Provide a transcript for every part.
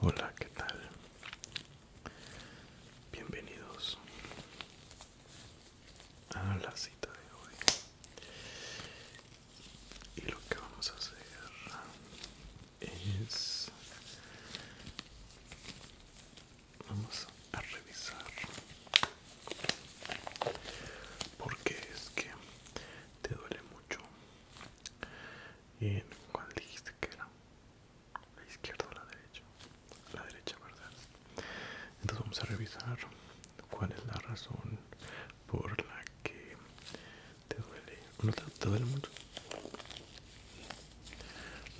Hola, ¿qué tal? Bienvenidos a la cita de hoy. Y lo que vamos a hacer es... Vamos a revisar porque es que te duele mucho en cuál dijiste que era la izquierda o la derecha la derecha verdad entonces vamos a revisar cuál es la razón por la que te duele no te duele mucho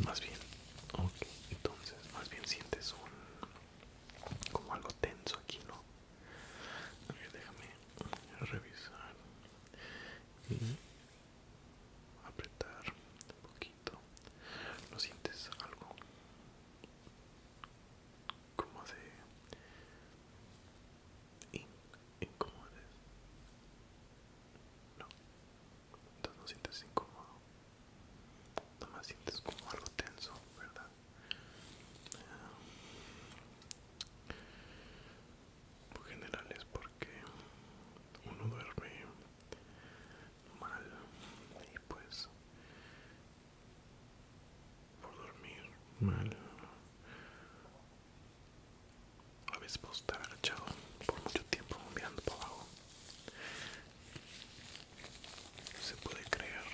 más bien ok entonces más bien sientes un como algo tenso aquí no a déjame revisar y apretar un poquito. ¿No sientes algo como de incómodo? No, entonces no sientes incómodo. más sientes como algo tenso, ¿verdad? por general es porque uno duerme mal y pues por dormir mal a veces puedo estar agachado por mucho tiempo mirando para abajo se puede crear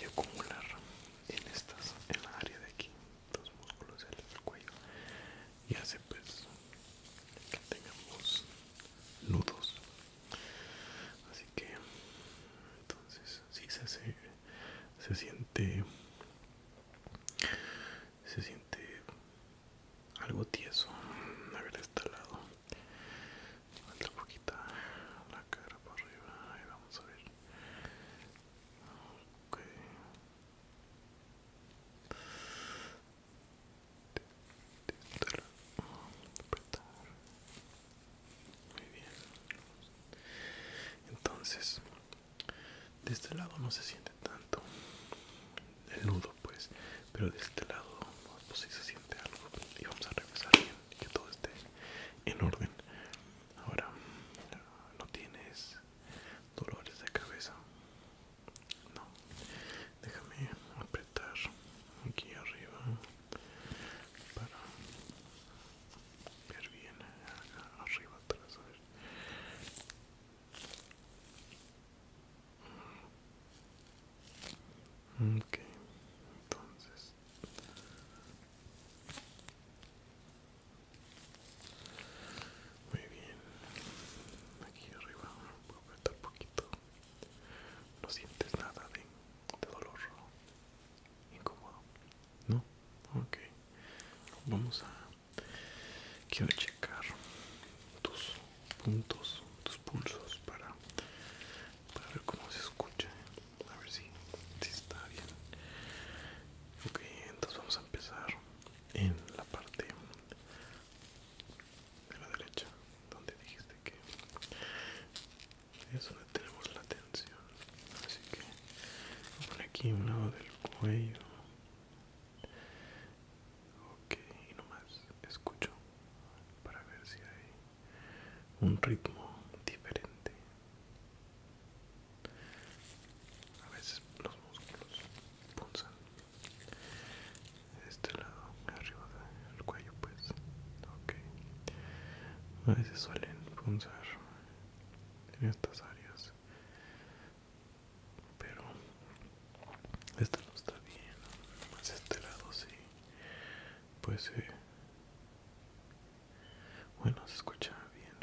y acumular en estas en la área de aquí los músculos del cuello y hace pues que tengamos nudos así que entonces si se, se siente se siente algo tieso a ver este lado un poquito la cara para arriba. y vamos a ver. Ok. Muy bien. Entonces, de este lado no se siente tanto el nudo pues pero de este lado pues si se siente algo y vamos a regresar bien que todo esté en orden ahora no tienes dolores de cabeza no déjame apretar aquí arriba para ver bien arriba atrás a entonces muy bien aquí arriba voy un poquito no sientes nada de, dolor incómodo no ok vamos a quiero checar tus puntos, tus pulsos para, ver cómo se escucha, a ver si, está bien. Ok, entonces vamos a empezar en la parte de la derecha, donde dijiste que es donde tenemos la tensión. Así que vamos aquí un lado del cuello Ok, y nomás escucho para ver si hay un ritmo diferente. A veces los músculos punzan este lado, arriba del cuello, pues. Ok, a veces suelen punzar en estas áreas pero esto no está bien más este lado sí pues eh, bueno se escucha bien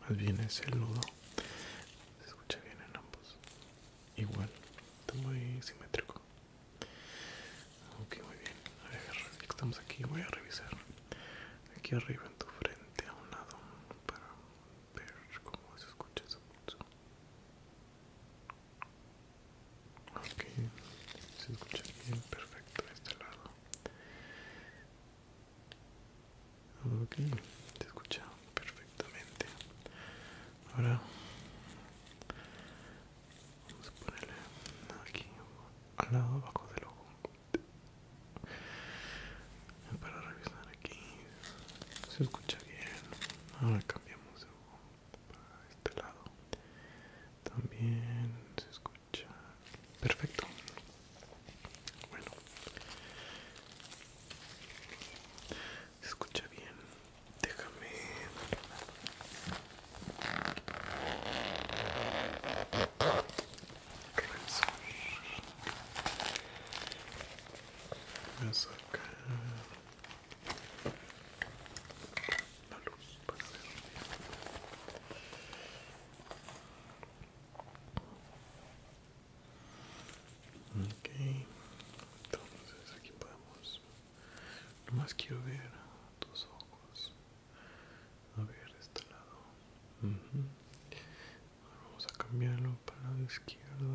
más bien es el nudo se escucha bien en ambos igual está muy simétrico ok muy bien a ver, ya estamos aquí voy a revisar aquí arriba en tu frente a un lado para pero como se escucha eso pulso. Ok, se escucha bien, perfecto de este lado. Ok, se escucha perfectamente. Ahora vamos a ponerle aquí al lado abajo del ojo para revisar aquí se escucha bien ahora cambiamos de para este lado también se escucha perfecto bueno se escucha bien déjame voy a sacar la luz para ver bien. Ok, entonces aquí podemos. Nomás quiero ver tus ojos. A ver, de este lado vamos a cambiarlo para el lado izquierdo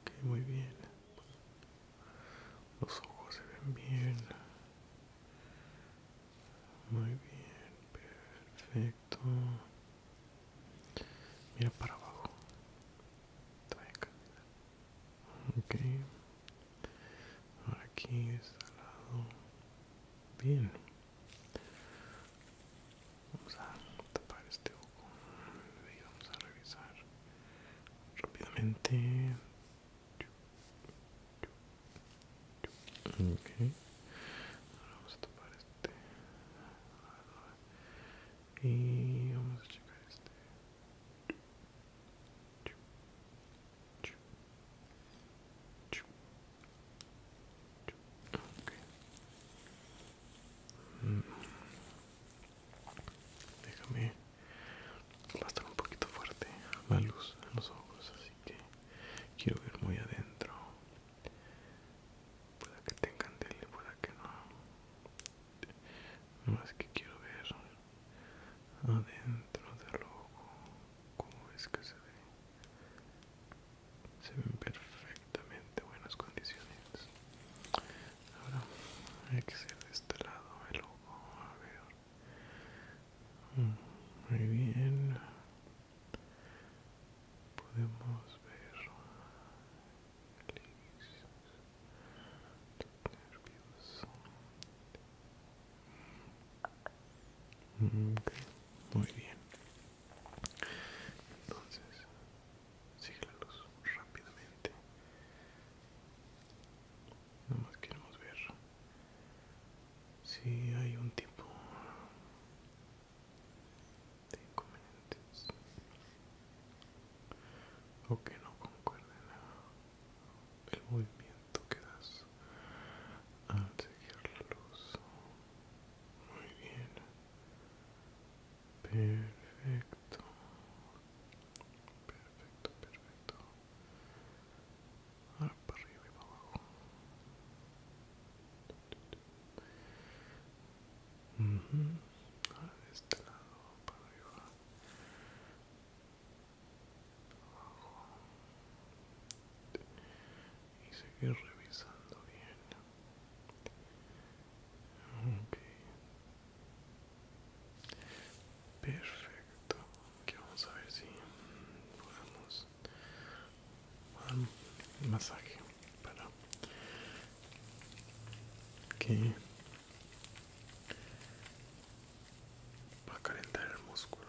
ok muy bien los ojos se ven bien muy bien perfecto mira para abajo ok ahora aquí está este lado bien Vamos a tapar este ojo y vamos a revisar rápidamente. Okay. Ahora vamos a tapar este y vamos a checar este. Mm. Déjame. Va a estar un poquito fuerte la luz en los ojos, así que quiero ver muy adentro. Puede que tengan tele pueda que no. Más que quiero ver adentro del ojo, cómo es que se ve se ven perfectamente buenas condiciones ahora hay que ser de este lado el ojo a ver mm, muy bien podemos ver mm, okay. muy bien entonces, sigue la luz rápidamente. Nada más queremos ver si hay un tipo de inconvenientes o que no concuerden el movimiento que das al seguir la luz muy bien. Perfecto. Perfecto, perfecto. Ahora para arriba y para abajo. Ahora de este lado para arriba. Abajo y seguir revisando bien perfecto que vamos a ver si podemos dar un masaje para que va a calentar el músculo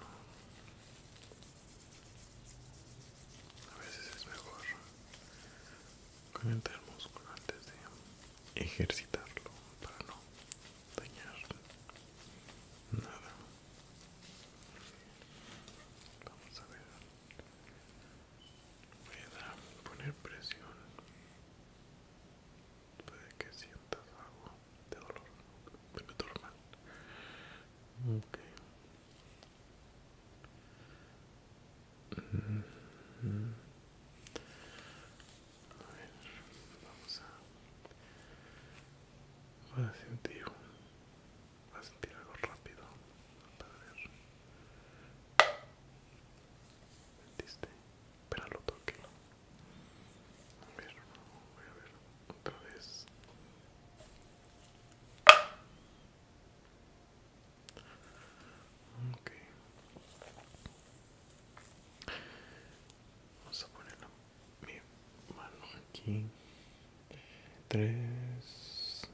a veces es mejor calentar el músculo antes de ejercitarlo para no dañar nada. Vamos a ver. Voy a poner presión. Puede que sientas algo de dolor. me normal. Ok. Okay. Ok A ver, vamos a, a sentir a sentir algo rápido para ver. ¿Sentiste? Pero lo A ver, voy a ver otra vez. Vamos a poner mi mano aquí. Tres.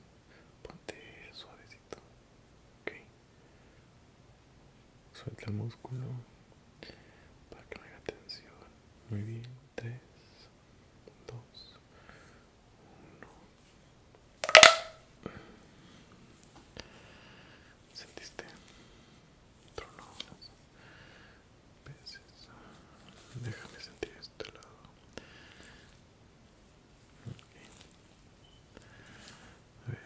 Ponte suavecito. Okay. Suelta el músculo para que no haya tensión. Muy bien. 3, 2, 1. ¿Sentiste? Trono unas veces. Déjame sentir este lado. A ver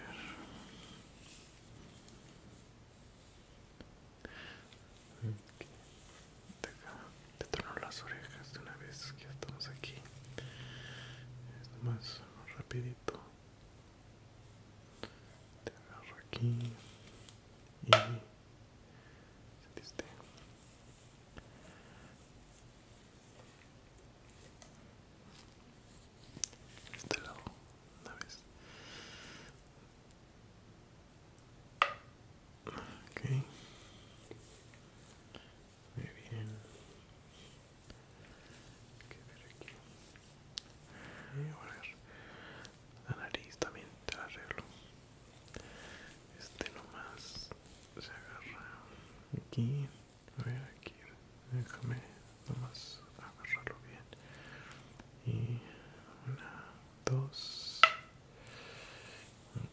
te torno las orejas de una vez que estamos aquí. Es más rapidito. Te agarro aquí y sentiste. Este lado, una vez. Okay. Muy bien. que ver aquí. Eh, la nariz también te la arreglo. Este nomás se agarra aquí. A ver, aquí. Déjame nomás agarrarlo bien y una dos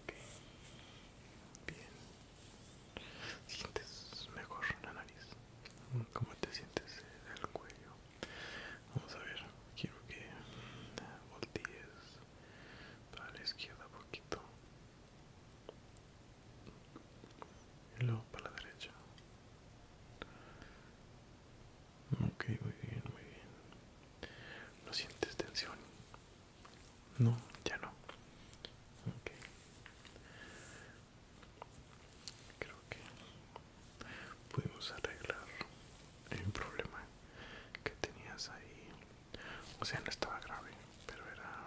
bien sientes mejor la nariz como te sientes el cuello vamos a ver quiero que voltees para la izquierda poquito y luego para la derecha Ok, muy bien, muy bien. ¿No sientes tensión? No, ya no. Ok. Creo que pudimos arreglar el problema que tenías ahí. O sea, no estaba grave, pero era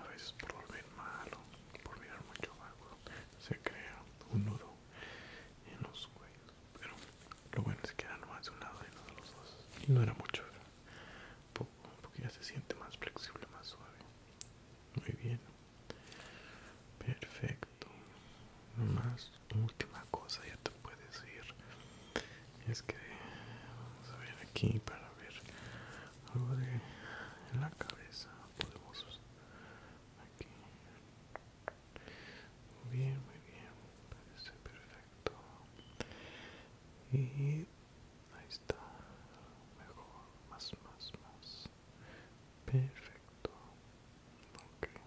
a veces por dormir malo, por mirar mucho algo se crea un nudo en los cuellos pero lo bueno es que era nomás de un lado y no de los dos y no era mucho era poco porque ya se siente más flexible más suave muy bien perfecto más última cosa ya te puedes ir es que vamos a ver aquí para ver algo de la cabeza podemos aquí muy bien muy bien parece perfecto y ahí está mejor más más más perfecto okay